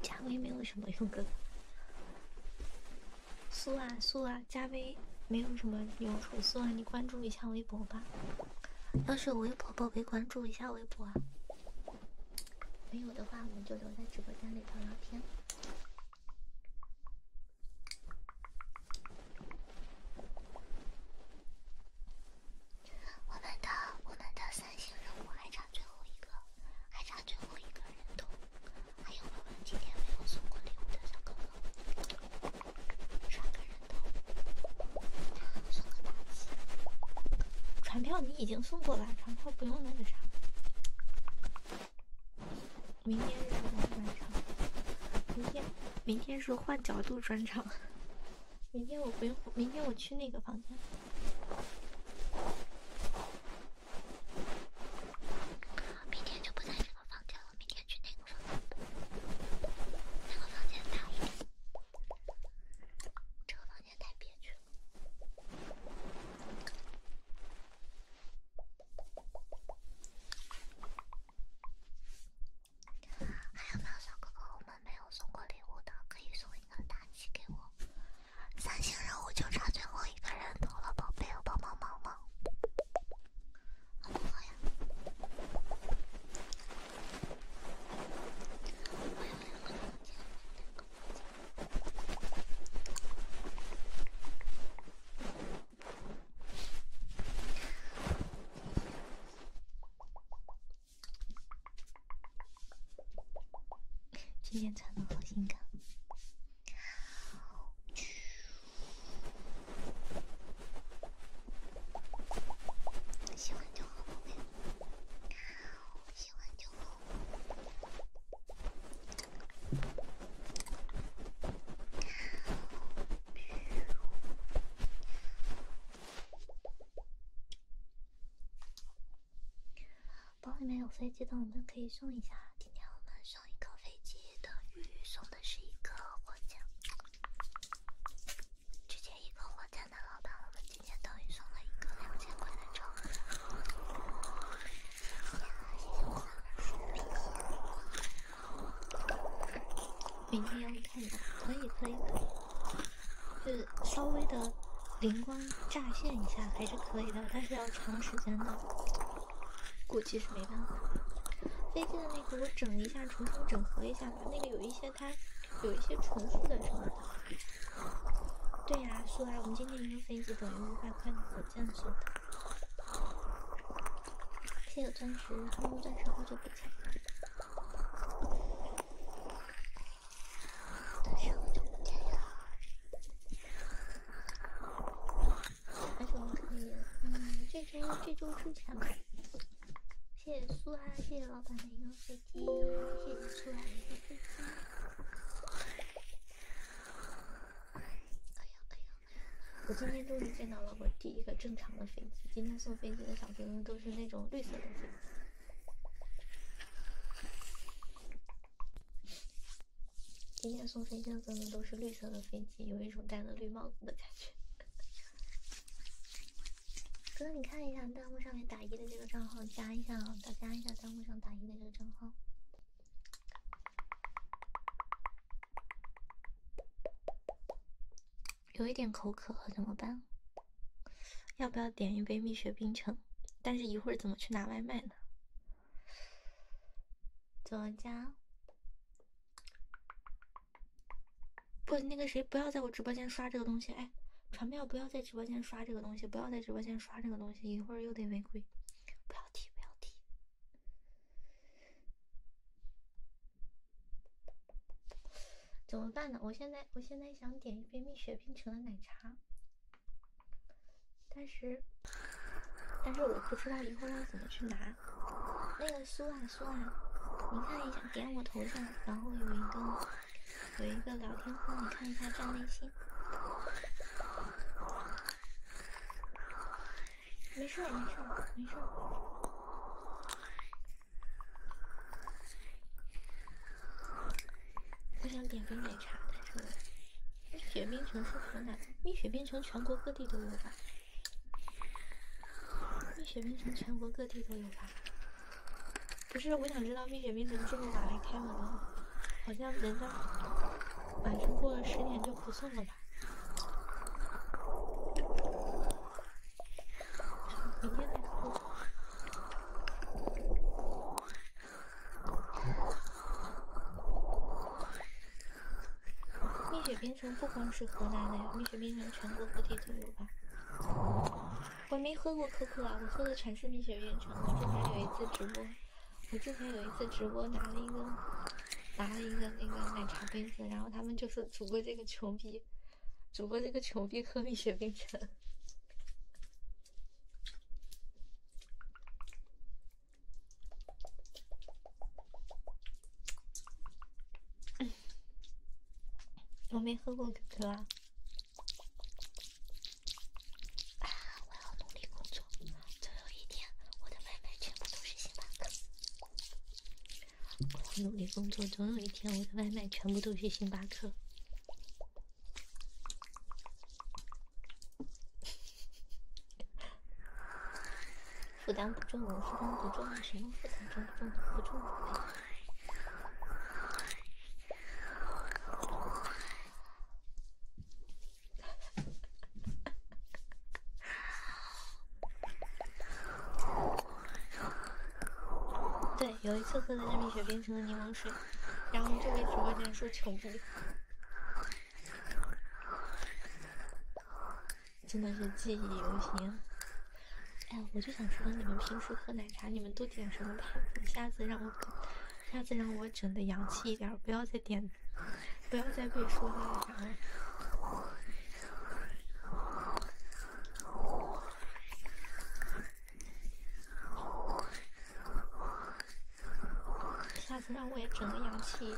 加微没有什么用，哥哥。苏啊苏啊，加微没有什么用处，苏啊。你关注一下微博吧，要是有微博，宝贝关注一下微博啊。没有的话，我们就留在直播间里聊聊天。我们的我们的三星任务还差最后一个，还差最后一个人。头。还有我们今天没有送过礼物的小哥哥，传个人头。送个大西。传票你已经送过了，传票不用那个啥。明天是晚晚场，明天明天是换角度专场，明天我不用，明天我去那个房间。明天就不在这个房间了，明天去那个房间，这个房间太憋屈了。还有喵小哥哥，我没有送过礼物的可以送一个打气给我，三星任务就差最后一个人头了，宝贝，帮帮忙吗？好不好呀？今天穿的好性感，包里面有飞机的，我们可以送一下。今天我们送一个飞机，的鱼，送的是一个火箭。之前一个火箭的老板，我们今天等于送了一个两千块的车。明天要看，的，可以可以可以。就是稍微的灵光乍现一下还是可以的，但是要长时间的，估计是没办法。飞机的那个我整一下，重新整合一下吧，那个有一些它有一些重复的什么的。对呀，苏来，我们今天一个飞机等于五百块的火箭似的。谢谢钻石，冲钻石好久不见。哪张可以嗯，这周这周出吧。谢谢苏啊！谢谢老板的一个飞机。谢谢苏的一个飞机。哎呀哎呀我今天终于见到了我第一个正常的飞机。今天送飞机的小朋友都是那种绿色的。今天送飞机送的都是绿色的飞机，有一种戴了绿帽子的感觉。哥，你看一下弹幕上面打一的这个账号，加一下，大家加一下弹幕上打一的这个账号。有一点口渴，怎么办？要不要点一杯蜜雪冰城？但是一会儿怎么去拿外卖呢？怎么加？不，那个谁，不要在我直播间刷这个东西！哎，传票，不要在直播间刷这个东西！不要在直播间刷这个东西，一会儿又得违规！不要提，不要提。怎么办呢？我现在我现在想点一杯蜜雪冰城的奶茶，但是但是我不知道以后要怎么去拿。那个苏啊苏啊，你看一下，点我头像，然后有一个有一个聊天框，你看一下站内心。没事没事没事。我想点杯奶茶。但是蜜雪冰城是河南蜜雪冰城，全国各地都有吧？蜜雪冰城全国各地都有吧？不是，我想知道蜜雪冰城这么晚还开门吗？好像人家晚上过了十点就不送了吧？”蜜雪冰城不光是河南的呀，蜜雪冰城全国各地都有吧？我没喝过可可啊，我喝的全是蜜雪冰城。我之前有一次直播，我之前有一次直播拿了一个拿了一个那个奶茶杯子，然后他们就是主播这个穷逼。主播这个穷逼喝蜜雪冰城，我没喝过可可啊。我要努力工作，总有一天我的外卖全部都是星巴克。我要努力工作，总有一天我的外卖全部都是星巴克。负担不重，负担不重，什么负担重不重？不重。对，有一次喝的是蜜雪冰城的柠檬水，然后这位直播间说穷逼，真的是记忆犹新。哎，我就想知道你们平时喝奶茶，你们都点什么？牌子？下次让我，下次让我整的洋气一点，不要再点，不要再被说那个啥。下次让我也整个洋气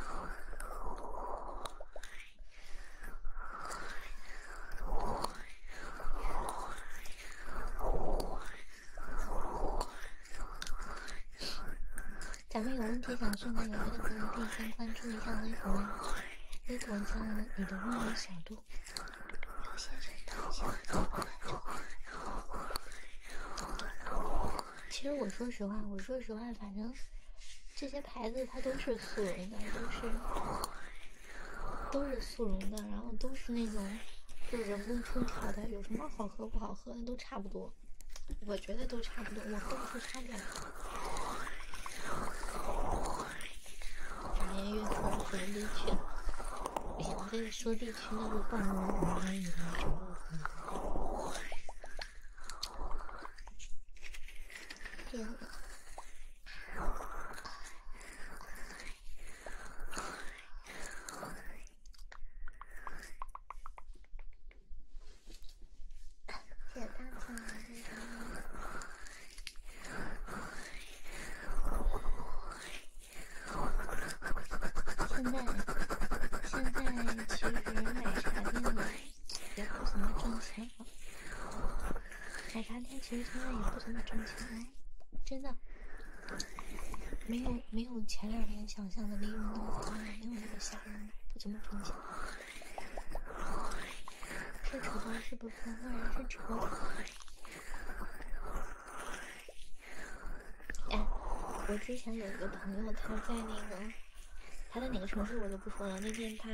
咱们有问题想问的，有这个可以先关注一下微博，微博叫你的秘密小度。其实我说实话，我说实话，反正这些牌子它都是速溶的，都是都是速溶的，然后都是那种就人工冲调的，有什么好喝不好喝的都差不多，我觉得都差不多，我喝不出差别。来。连越说说地区，不想再说地区那个话了。别。现在，现在其实奶茶店也不怎么挣钱。了。奶茶店其实现在也不怎么挣钱，真的，没有没有前两年想象的利润那么高，没有那么吓人，不怎么挣钱。这主播是不是骂人是丑？哎，我之前有一个朋友，他在那个，他在哪个城市我就不说了。那天他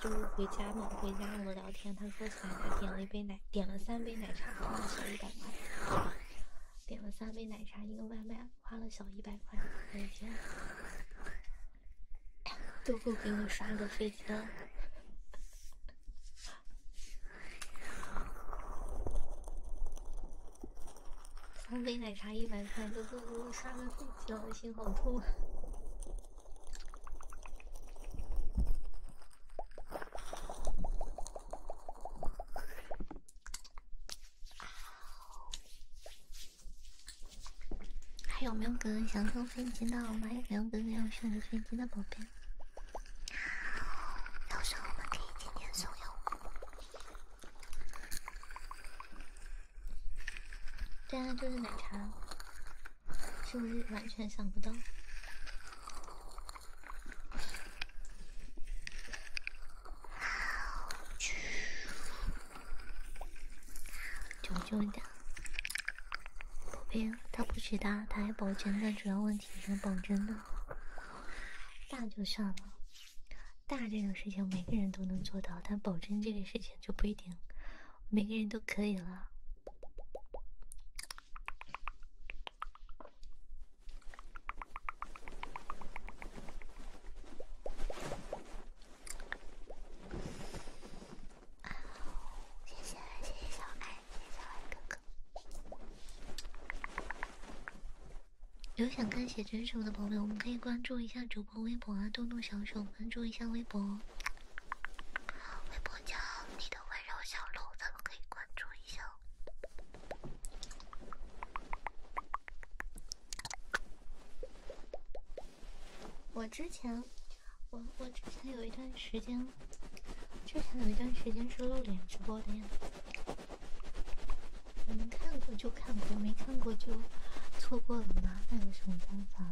就是回家嘛，回家我们聊天，他说起来他点了一杯奶，点了三杯奶茶，花了小一百块，点了三杯奶茶一个外卖花了小一百块，每天都够给我刷个飞机了。三杯奶茶一百块，哥哥哥刷个飞机，我的心好痛啊！还有没有哥哥想坐飞机的我们还有没有哥哥要坐飞机的宝贝？到时候我们可以天天送药。对啊，就是奶茶，是不是完全想不到？好，啾一点。不偏，他不许大，他还保真，的主要问题是保真的，大就算了，大这个事情每个人都能做到，但保真这个事情就不一定每个人都可以了。谢谢谢谢小爱。下来哥哥，有想看写真什么的朋友，我们可以关注一下主播微博啊，动动小手关注一下微博。微博叫你的温柔小鹿，咱们可以关注一下。我之前。我我之前有一段时间，之前有一段时间是露脸直播的样子。你们看过就看过，没看过就错过了吗？那有什么办法？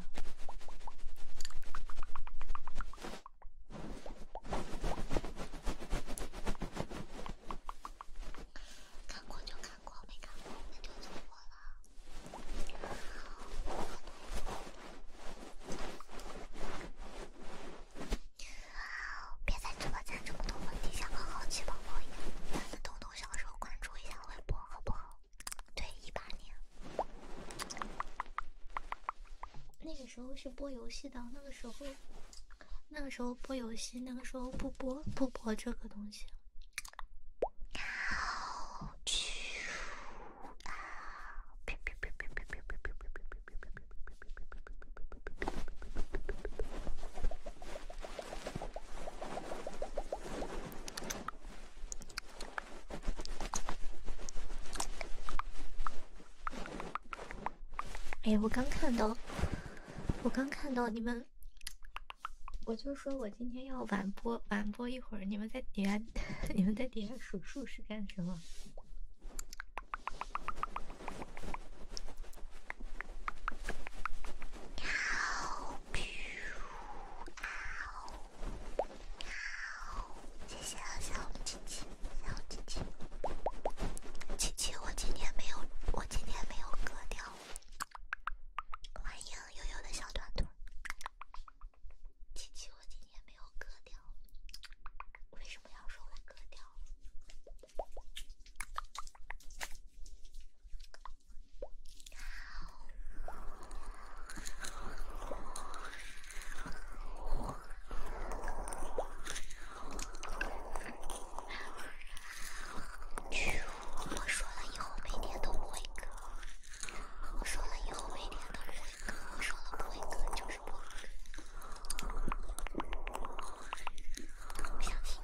看过就看过，没看过就错过了。别在直播间这么多问题，像个好奇宝宝一样，多动动小手关注一下微博，好不好？对，一八年那个时候是播游戏的，那个时候那个时候播游戏，那个时候不播不播这个东西。哎呀！我刚看到，我刚看到你们，我就说我今天要晚播，晚播一会儿。你们在底下，你们在底下数数是干什么？哇哦！哇哦！哇哦！谢谢小七七，小七七。七七，我今天没有，我今天没有割掉。欢迎悠悠的小团团。琪琪，我今天没有割掉，为什么要说我割掉？我说了以后每天都不会割。我说了以后每天都是。我说了不会就是不会不相信？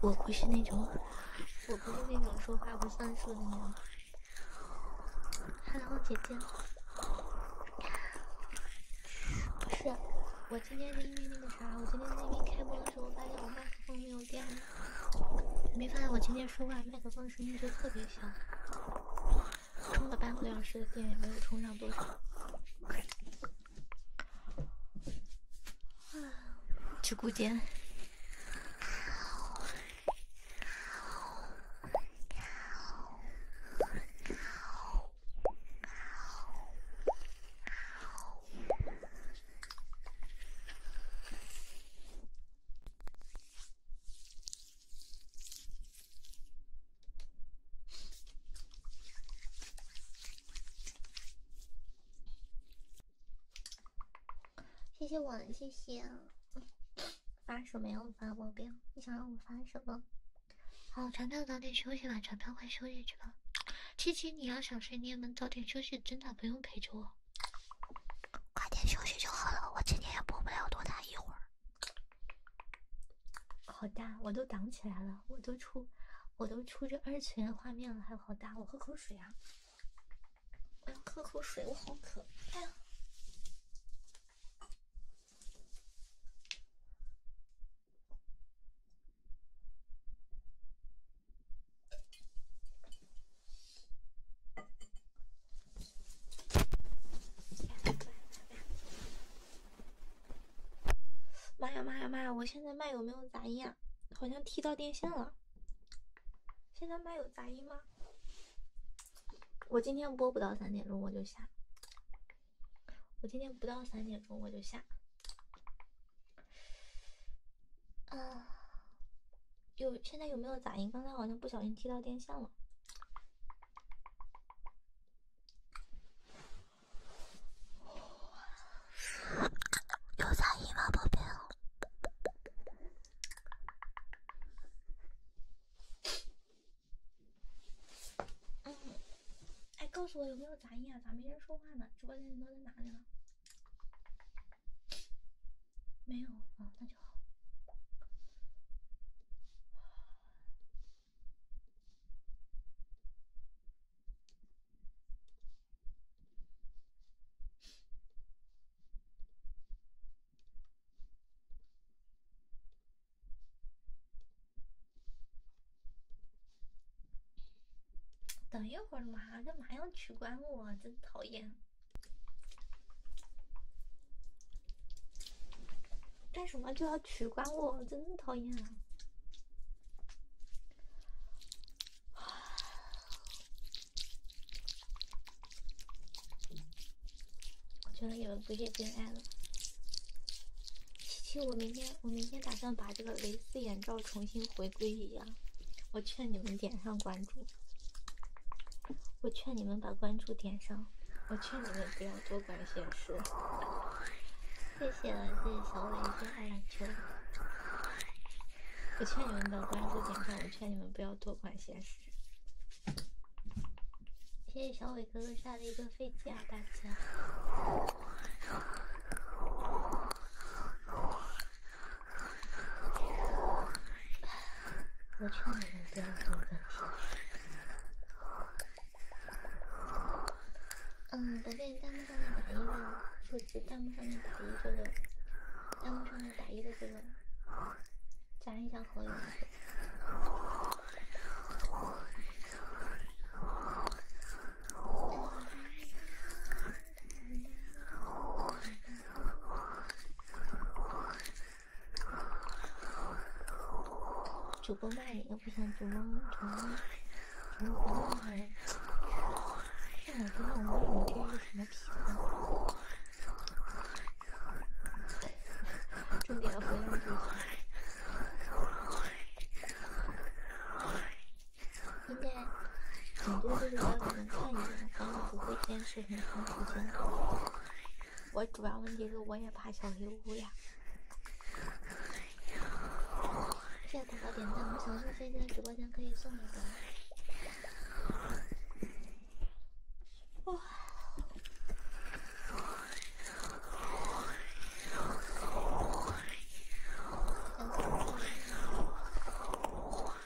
我不是那种。我不是那种说话不算数的男孩。Hello，姐姐。不是，我今天是因为那个啥，我今天那边开播的时候发现我麦克风没有电了。没发现我今天说话麦克风？声音就特别小，充了半个多小时的电，也没有充上多少。去吃间。谢谢我，谢谢。发什么呀？发宝贝？你想让我发什么？好，船票早点休息吧，船票快休息去吧。七七，你要想睡你也能早点休息，真的不用陪着我。快点休息就好了，我今天也播不了多大一会儿。好大，我都挡起来了，我都出，我都出这二次元画面了，还有好大，我喝口水啊！我要喝口水，我好渴！哎呀。妈呀妈呀妈呀！我现在麦有没有杂音啊？好像踢到电线了。现在麦有杂音吗？我今天播不到三点钟我就下。我今天不到三点钟我就下。啊。有现在有没有杂音？刚才好像不小心踢到电线了。有杂音吗？宝贝，嗯，哎，告诉我有没有杂音啊？咋没人说话呢？直播间人都在哪里了？没有啊，那。等一会儿嘛，干嘛要取关我？真讨厌！干什么就要取关我，真讨厌！啊！我觉得你们不是真爱了。七七，我明天我明天打算把这个蕾丝眼罩重新回归一样，我劝你们点上关注。我劝你们把关注点上，我劝你们不要多管闲事。谢谢，谢谢小伟哥二蓝球。我劝你们把关注点上，我劝你们不要多管闲事。谢谢小伟哥哥下了一个飞机啊，大家。我这嗯，感嗯，一下弹幕上面打一的，就是弹幕上面打一的这个，弹幕上面打一的这个，加一下好友。主播骂你又不行，主播主播主播，让我看看我们今天是什么皮肤。重点回主播。应该很多都是小女生看你们，然后不会坚持，时间。我主要问题是我也怕小黑屋呀。谢谢宝宝点赞，我小鹿飞在直播间可以送礼物。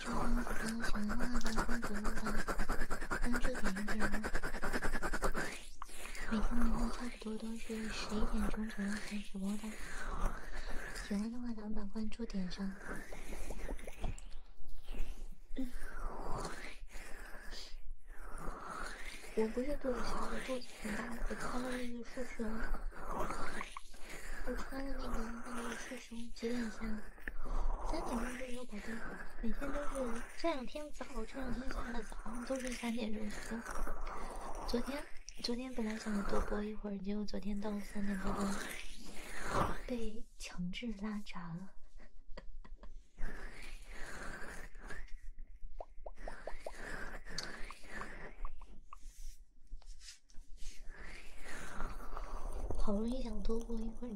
喜欢的话，咱们把关注点上。每天晚上差不多都是十一点钟左右开直播的，喜欢的话咱们把关注点上。我不是肚子小，我肚杜雨佳，我穿的那个是谁？我穿的那个是。几点下？三点钟就左右，宝贝。每天都是这两天早，这两天下的早都是三点钟下。昨天，昨天本来想多播一会儿，结果昨天到三点钟被强制拉闸了。好容易想多播一会儿。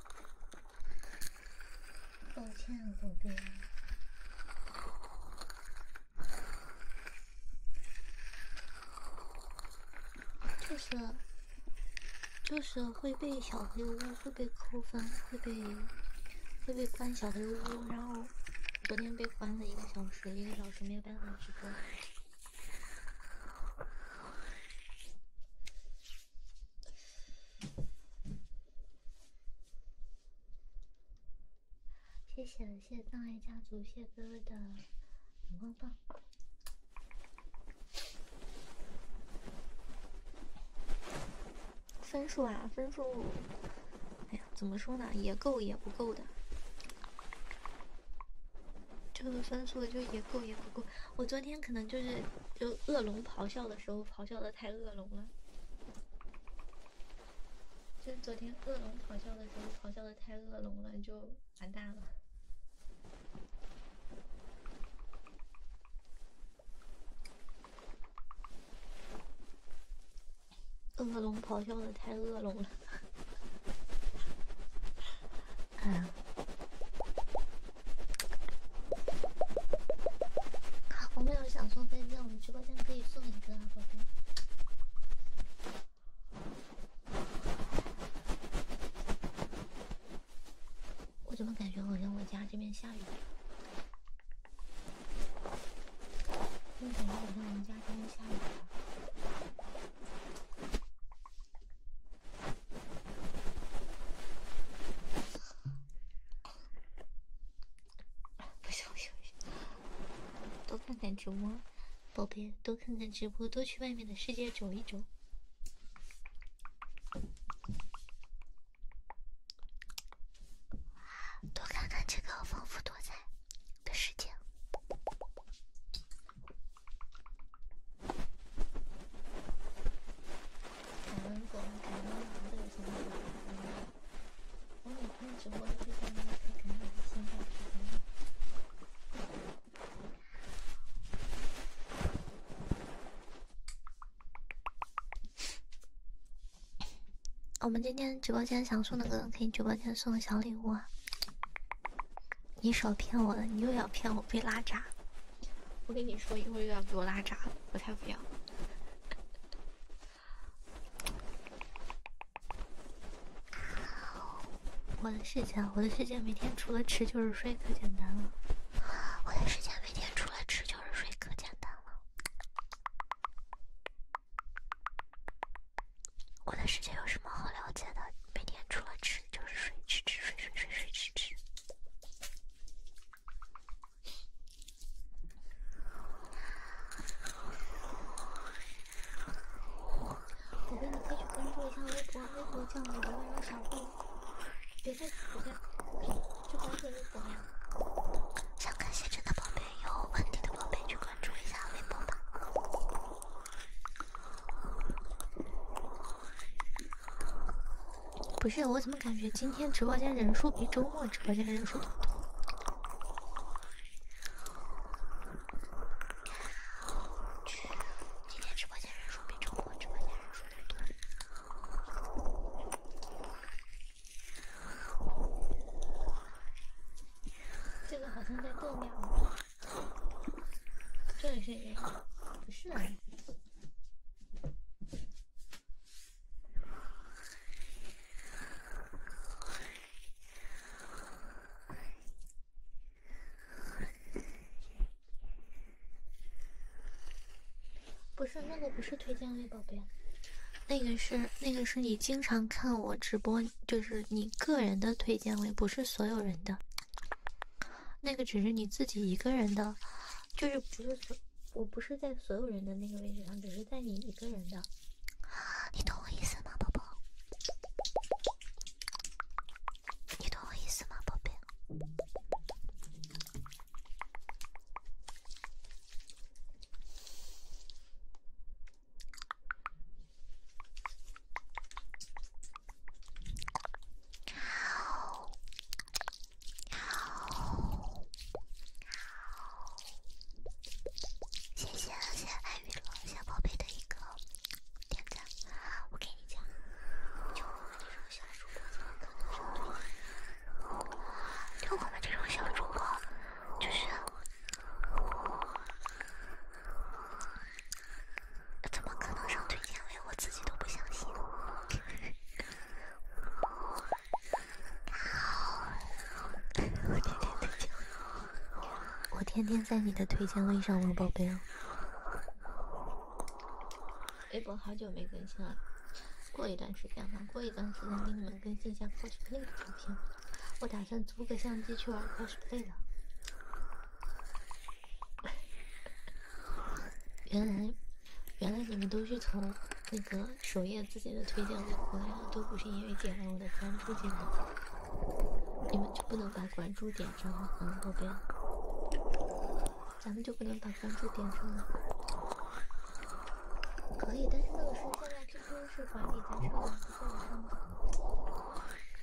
抱歉，宝贝。就是就是会被小黑屋，会被扣分，会被会被关小黑屋，然后昨天被关了一个小时，一个小时没有办法直播。谢谢谢谢葬爱家族谢哥哥的荧光棒分数啊分数，哎呀，怎么说呢？也够也不够的，这个分数就也够也不够。我昨天可能就是，就恶龙咆哮的时候咆哮的太恶龙了，就是昨天恶龙咆哮的时候咆哮的太恶龙了，就完蛋了。恶龙咆哮的太恶龙了。哎呀，我们有想送飞机，我们直播间可以送一个飞机。我怎么感觉好像我家这边下雨？我感觉好像家这边下雨了。不行不行，不行，多看看直播，宝贝，多看看直播，多去外面的世界走一走，多看看这个丰富多彩的世界。感恩果感恩这个我每天直播都我们今天直播间想送的歌，可以，直播间送个小礼物。啊！你少骗我了，你又要骗我被拉闸。我跟你说，一会儿又要给我拉闸，了，我才不要！我的世界，我的世界每天除了吃就是睡，可简单了。我的世界每天除了吃就是睡，可简单了。我的世界有什么好了解的？每天除了吃就是睡，吃吃睡睡睡睡吃吃。宝贝，你可以去关注一下微博，微博叫“我的温柔小布”。别再，宝贝，去关注微博呀！想看写真的宝贝，有问题的宝贝，去关注一下微博吧。不是，我怎么感觉今天直播间人数比周末直播间人数多？今天直播间人数比周末直播间人数多。这个好像在后面，这里是？不是。不是那个，不是推荐位，宝贝，那个是那个是你经常看我直播，就是你个人的推荐位，不是所有人的。那个只是你自己一个人的，就是不是所，我不是在所有人的那个位置上，只是在你一个人的。你懂我意思吗，宝宝？你懂我意思吗，宝贝？谢谢谢谢爱与小宝贝的一个点赞，我给你讲，就我们这种小主播，就是。怎么可能上推荐位？我自己都不相信。我天天在你的推荐位上玩宝贝？微博好久没更新了，过一段时间吧，过一段时间给你们更新一下 cosplay 的图片。我打算租个相机去玩 cosplay 了。原来，原来你们都是从那个首页自己的推荐里过来的，都不是因为点了我的关注进来。你们就不能把关注点上吗？宝贝，咱们就不能把关注点上吗？可以，但是那个是现在 QQ 是管理在上面，不以上能。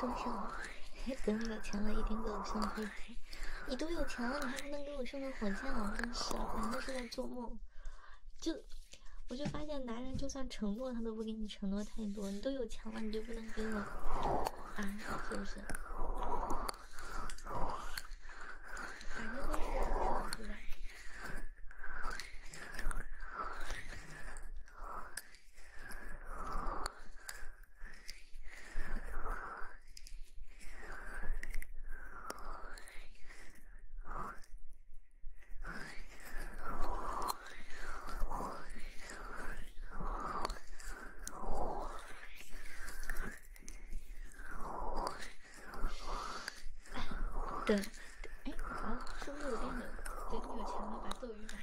多少？等我有钱了，一定给我送飞机。你都有钱了，你还不能给我送个火箭啊？真是，咱们是在做梦。就，我就发现男人就算承诺，他都不给你承诺太多。你都有钱了，你就不能给我？啊，是不是？反正都是梦出来。等，哎，好，是不是有点冷？等你有钱了，把斗鱼买。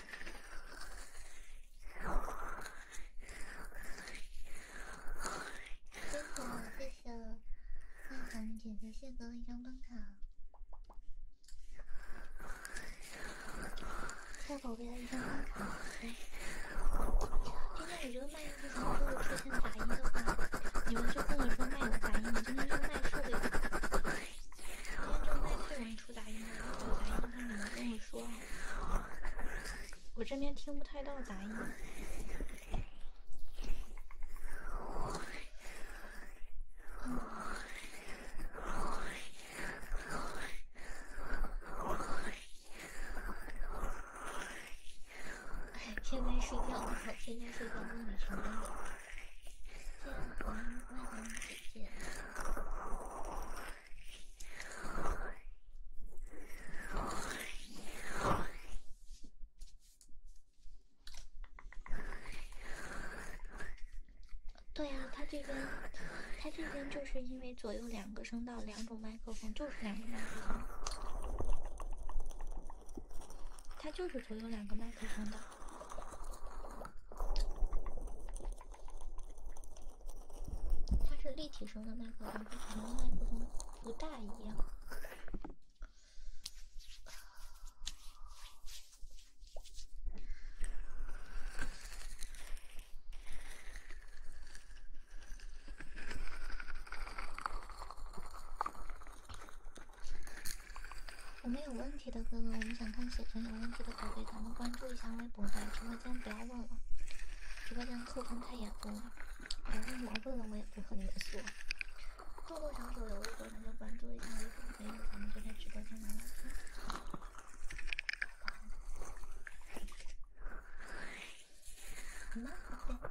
谢谢，谢谢大寒姐姐谢哥的一张灯卡，谢宝贝的一张灯卡。今天如果卖衣服的都出现杂音的话，你们就跟我说麦的杂音，你今天要麦设备。正在听不出杂音，有杂音的话，你跟我说我这边听不太到杂音。哎，天天睡觉我现在睡觉都你唱。对呀，他这边，他这边就是因为左右两个声道，两种麦克风，就是两个麦克风，他就是左右两个麦克风的。它是立体声的麦克风，跟普通麦克风不大一样。我们有问题的哥哥，我们想看写真有问题的宝贝，咱们关注一下微博，在直播间不要问了，直播间扣分太严重了。有题来问了我也不和你们说。扣扣想走有微博，咱就关注一下微博。没有，咱们就在直播间聊。聊天。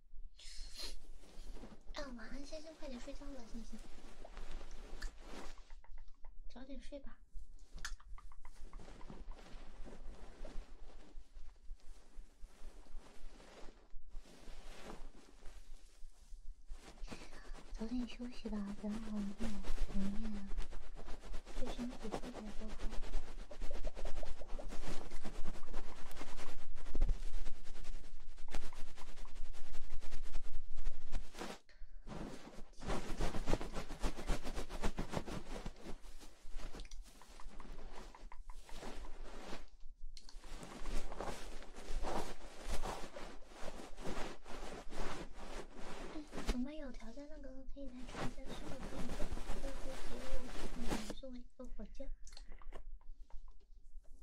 啊，晚安，星星，快点睡觉了，星星，早点睡吧，早点休息吧，真好累，好累啊，对身体特别不好。我们有条件，那个可以来看一下是否可以，做，就是给我送一个火箭。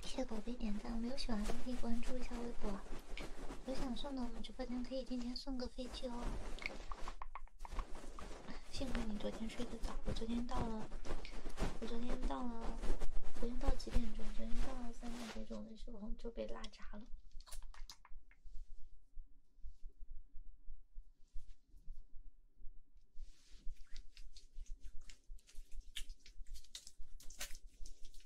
谢谢宝贝点赞，没有喜欢的可以关注一下微博。有想送的，我们直播间可以今天送个飞机哦。幸亏你昨天睡得早，我昨天到了，我昨天到了，昨天到几点钟？昨天到了三点多钟的时候就被拉闸了。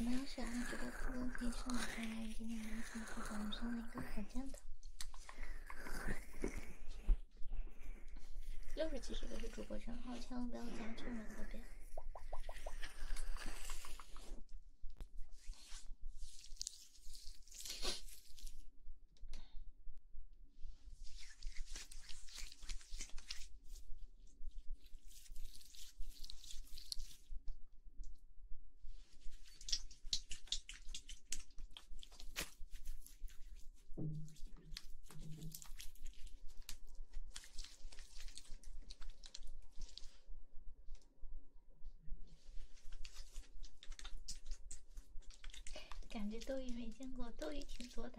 们有喜欢主播的歌可以送礼物，今天我送出的们上了一个好箭的。六十级这个是主播账号，千万不要加错了，那边。感觉斗鱼没见过，斗鱼挺多的。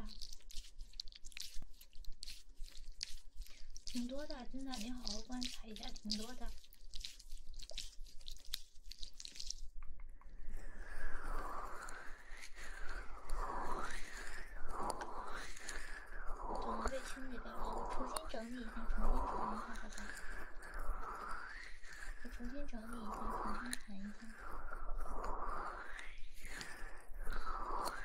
挺多的，真的，你好好观察一下，挺多的。我被清理掉了，我重新整理一下，重新谈一下，好吧？我重新整理一下，重新谈一下。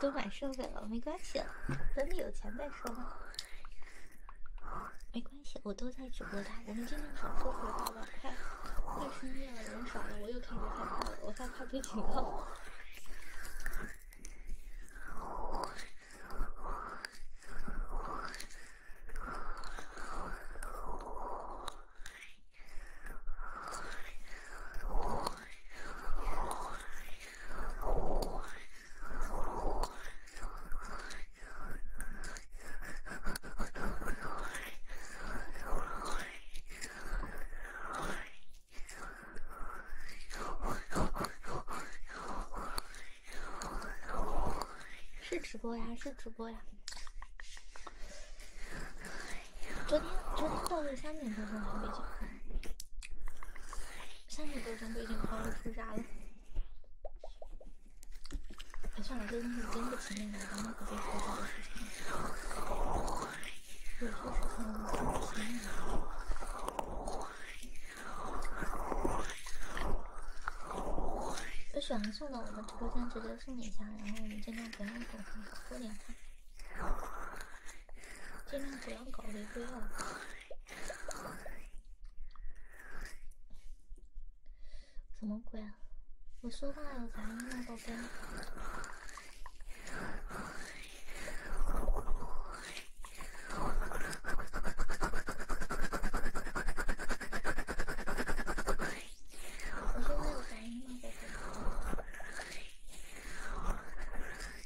都买设备了，没关系了，等你有钱再说吧。没关系，我都在直播我们今天少说回话吧，快快深夜了，人少了，我又开始害怕了，我害怕被警告。是直播呀，是直播呀。昨天，昨天到了三点多钟还没去。三十多层都已经抛出啥了？算了，这东西真不值那个。有选欢送到我们直播间，直接送你一下，然后我们尽量不要多，多点看。尽量不要搞的要。什么鬼啊？我说话有杂音吗，宝贝？我说话有杂音吗，宝贝？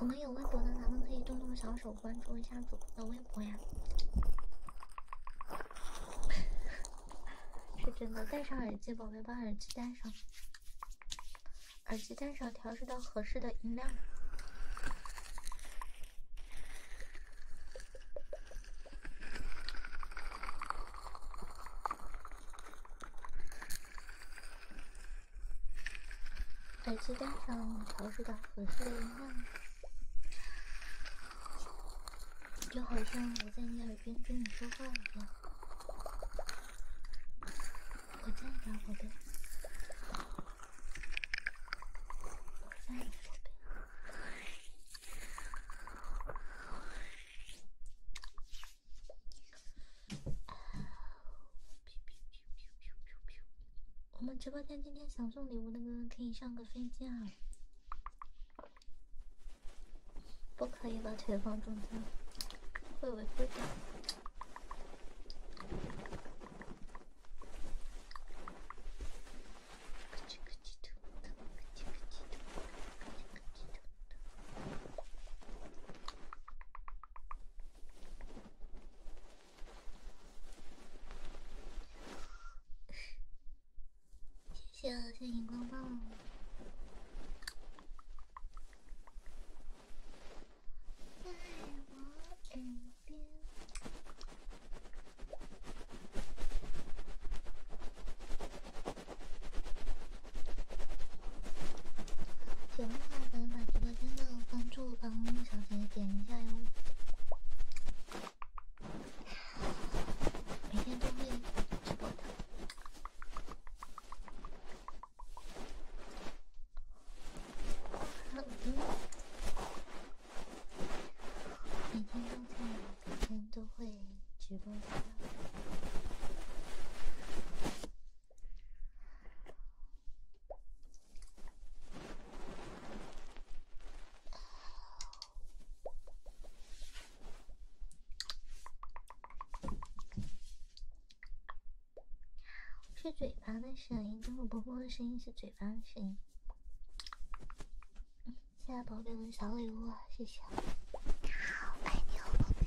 我们有微博的，咱们可以动动小手关注一下主播的微博呀。是真的，戴上耳机，宝贝，把耳机戴上，耳机戴上，调试到合适的音量，耳机戴上，调试到合适的音量。就好像我在你耳边跟你说话一样，我在讲我的，我在讲我的。我们直播间今天想送礼物的哥可以上个飞机啊！不可以把腿放中间会违规的。谢谢，谢谢荧光棒。在我耳边，喜欢的话，可以把直播间的关注帮小姐姐点一下哟。每天都会直播的。好的，每天都在，每天都会直播的。是嘴巴的声音，跟我波波的声音是嘴巴的声音。谢谢宝贝们小礼物，谢谢。好，爱你哦，宝贝。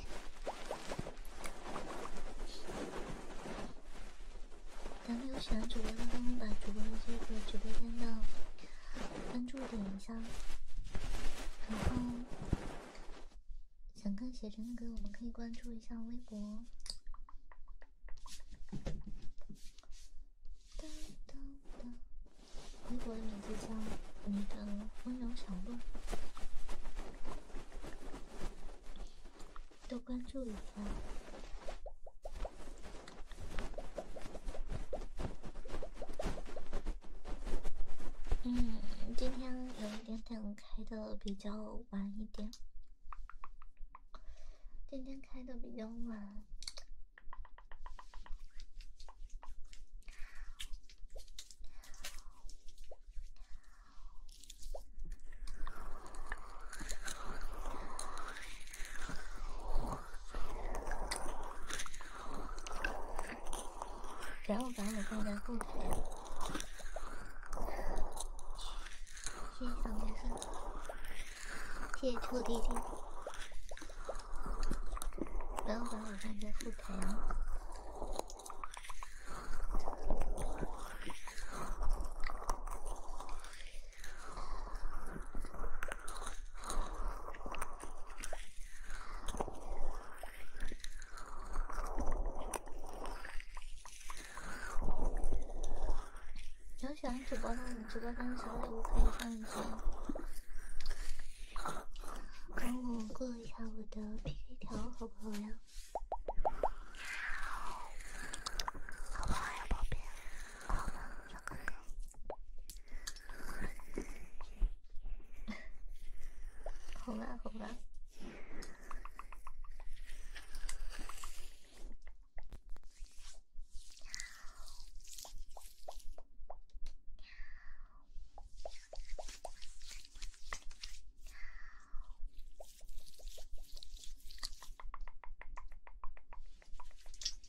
咱们有喜欢主播的，帮忙把主播的这个直播间的关注点一下。然后想看写真的歌，我们可以关注一下微博。当当当，微博的名字叫你的温柔小鹿，都关注一下。嗯，今天有一点点开的比较晚一点，今天开的比较晚。然后把我放在后台。谢谢小明哥，谢谢臭弟弟。然后把我放在后台啊。有喜欢主播的，我们直播间小么时可以上一上？帮我过一下我的 PK 条，好不好呀？好，好呀，宝贝。好吧，好吧。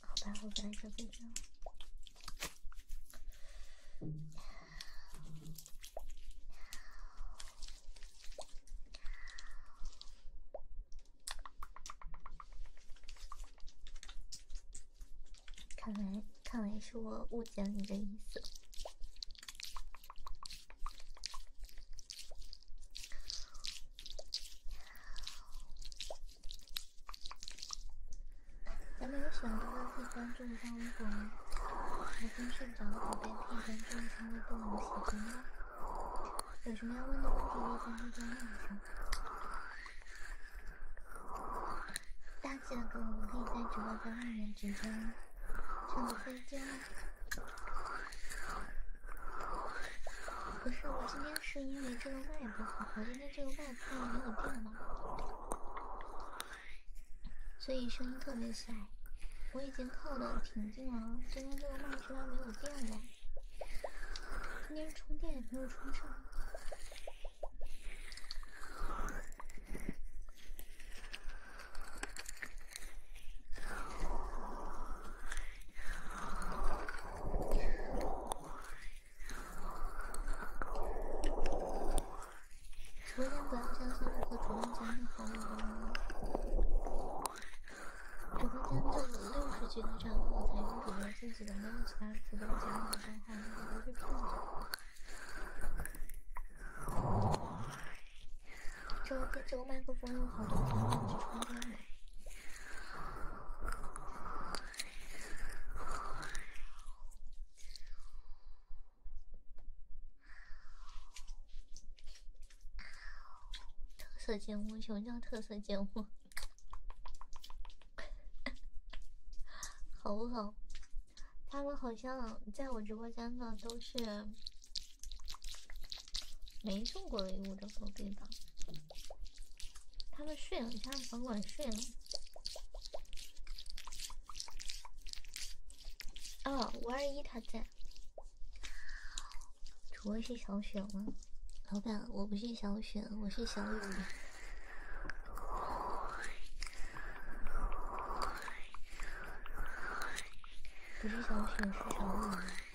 好吧，我来吧，就这样。看来，看来是我误解你的意思。咱们有喜欢的可以关注一下微博，吗？还有着视宝贝，可以关注一下微博和我们直播间。有什么要问的问题可以在那上面。大气的哥，我们可以在直播间里面直趁唱飞椒。不是我今天是因为这个麦不好，我今天这个麦突然没有电了，所以声音特别小。我已经靠的挺近了，今天这个麦居然没有电了，今天充电也没有充上。直播间不要加粉丝和主动加任好友。直播间只有六十级的账号才能给自己的梦奇打直的账号，你不会看吗？这这个麦克风有好多东西，今天买。特色节目，什么叫特色节目？好不好？他们好像在我直播间的都是没中过礼物的宝贝吧？他们睡了，现在房管睡了。哦，五二一他在。主播是小雪吗？老板，我不是小雪，我是小雨。不是小雪。是小雨。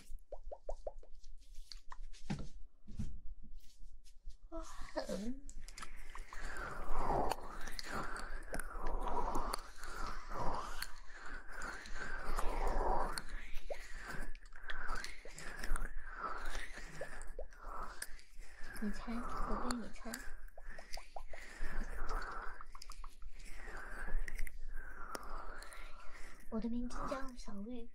我哼。你猜，我问你猜。我的名字叫小绿。哎，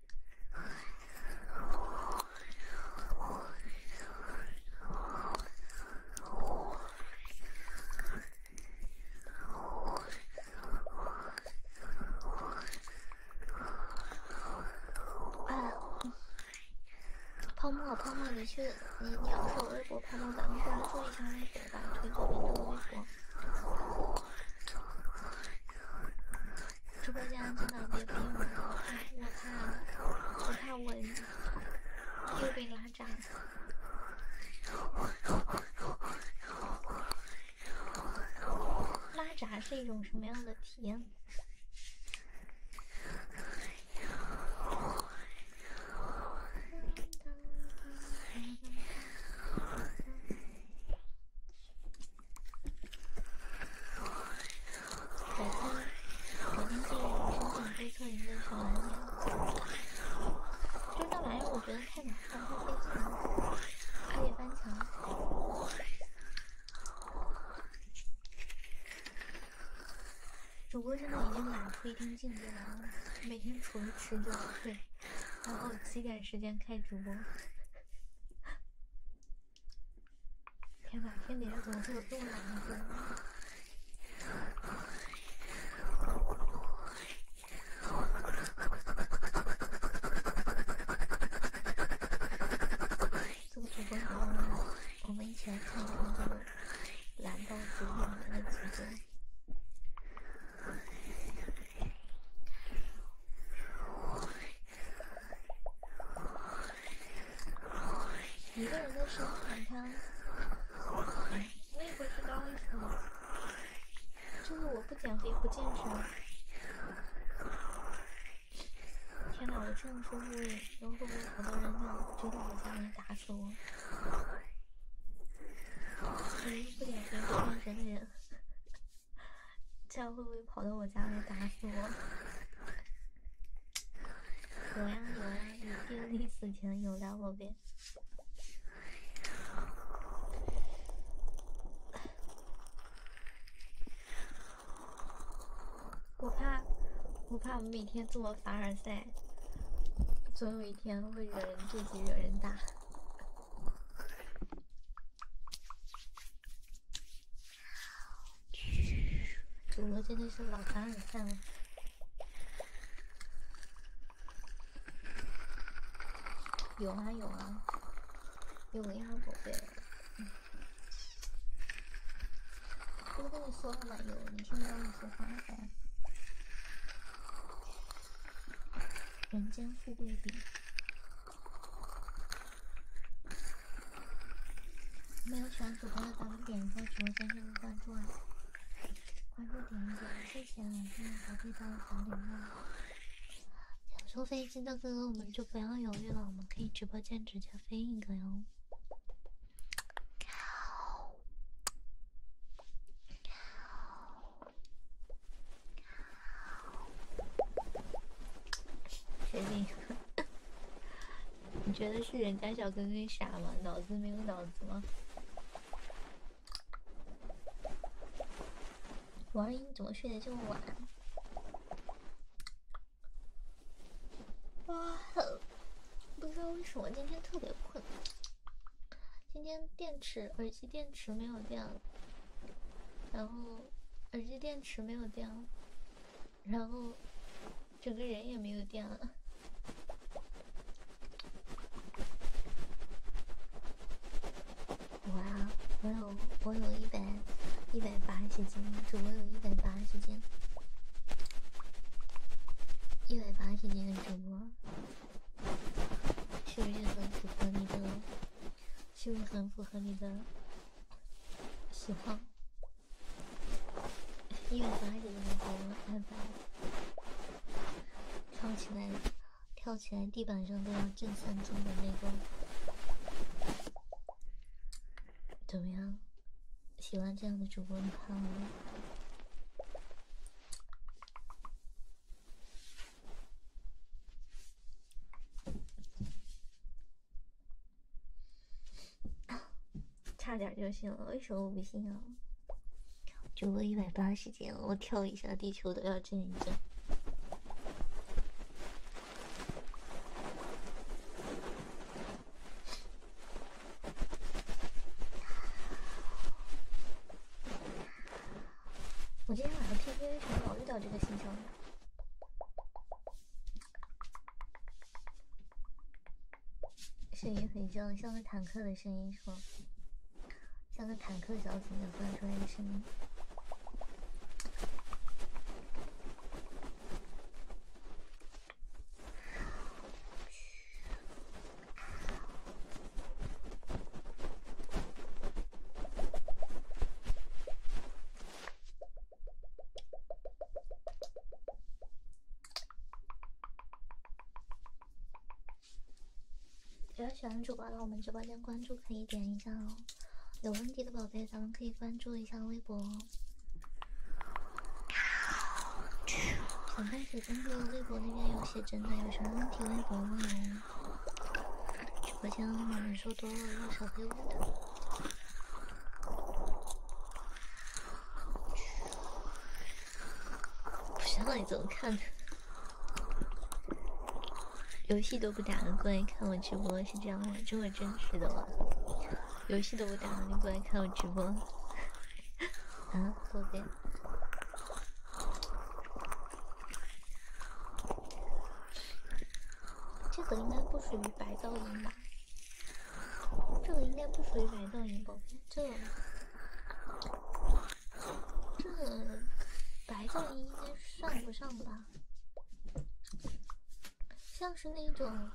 泡沫，泡沫，你去，你，你要是有微博，泡沫，咱们俩做一下微博吧，推左边推微博。直播间真的别逼我，我怕我怕我被拉闸。拉闸是一种什么样的体验？改天，改天再分享飞车人的好玩。这玩意儿我觉得太难看了，飞车可以翻墙。主播现在已经懒出一定境界了，每天除了吃就睡。然后几点时间开直播？天哪，天底下怎么会有这么难的主播？这个主播，我们一起来看这个懒惰主播的直播一个人的时候，你看，我也不知道为什么，就是我不减肥不健身。天哪，我这样说服，然后会不会很多人就觉得我专门打死我？不减肥不健身的人。这样会不会跑到我家来打死我？有呀有呀，你病历死前有来我边。我怕，我怕我们每天这么凡尔赛，总有一天会惹人妒忌，惹人打。主播真的是老尔赛了，有啊有啊，有呀宝贝，不是跟你说了吗？有，你听不到你说话吗？人间富贵饼。没有喜欢主播的，咱们点一下直播间进入关注啊！关注点一点，谢谢！欢迎隔壁的好礼物，想坐飞机的哥哥，我们就不要犹豫了，我们可以直播间直接飞一个哟！确定，你觉得是人家小哥哥傻吗？脑子没有脑子吗？王一，怎么睡得这么晚？哇不知道为什么今天特别困。今天电池，耳机电池没有电了。然后耳机电池没有电了，然后整个人也没有电了。我啊，我有我有一百一百八十斤，主播有一百八十斤，一百八十斤的主播是不是和主播那个是不是很符合你的喜好？一百八十的那种，三百，跳起来，跳起来，地板上都要震三震的那种，怎么样？喜欢这样的主播，你看吗？差点就行了，为什么不信啊？主播一百八十斤，我跳一下，地球都要震一震。我今天晚上 PK 为什么老遇到这个新枪？声音很像像个坦克的声音，是吗？像个坦克小子，突然出来的声音。有喜欢主播的我们直播间关注，可以点一下哦。有问题的宝贝，咱们可以关注一下微博哦。宝写真的，微博那边有写真的，有什么问题？微博问啊。直播间面人数多了要小黑屋的，不知道你怎么看的。游戏都不打了，过来看我直播是这样吗？这么真实的吗？游戏都不打了，你过来看我直播？啊，宝贝。这个应该不属于白噪音吧？这个应该不属于白噪音吧？这，这白噪音应该上不上吧？像是那种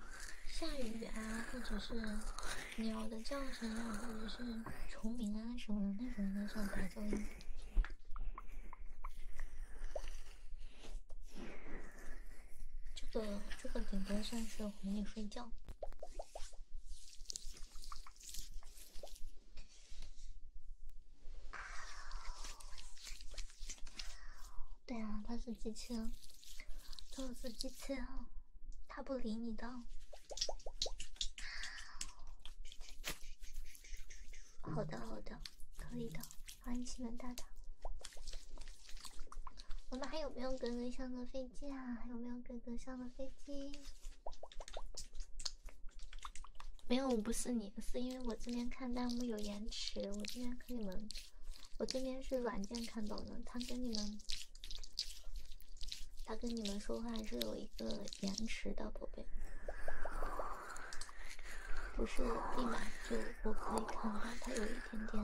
下雨啊，或者是鸟的叫声啊，或者是虫鸣啊什么的，那种该算白噪音？这个这个顶多算是哄你睡觉。对啊，他是机器人，他是机器人，他不理你的。好的好的，可以的，欢迎西门大大。我们还有没有哥哥上的飞机啊？有没有哥哥上的飞机？没有，我不是你，是因为我这边看弹幕有延迟，我这边跟你们，我这边是软件看到的，他跟你们，他跟你们说话是有一个。延迟的宝贝，不是立马就我可以看到，它有一点点。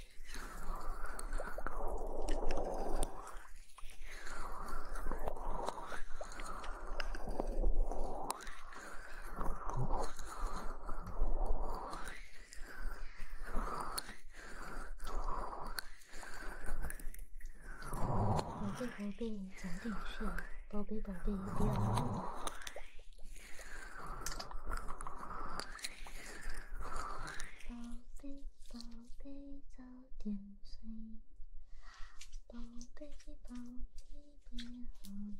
宝贝宝贝，早点睡。宝贝宝贝，不要闹。宝贝，早点睡。宝贝，宝贝，别熬夜。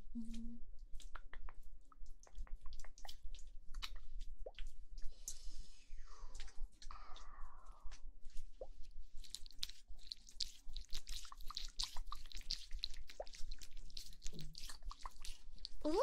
嗯？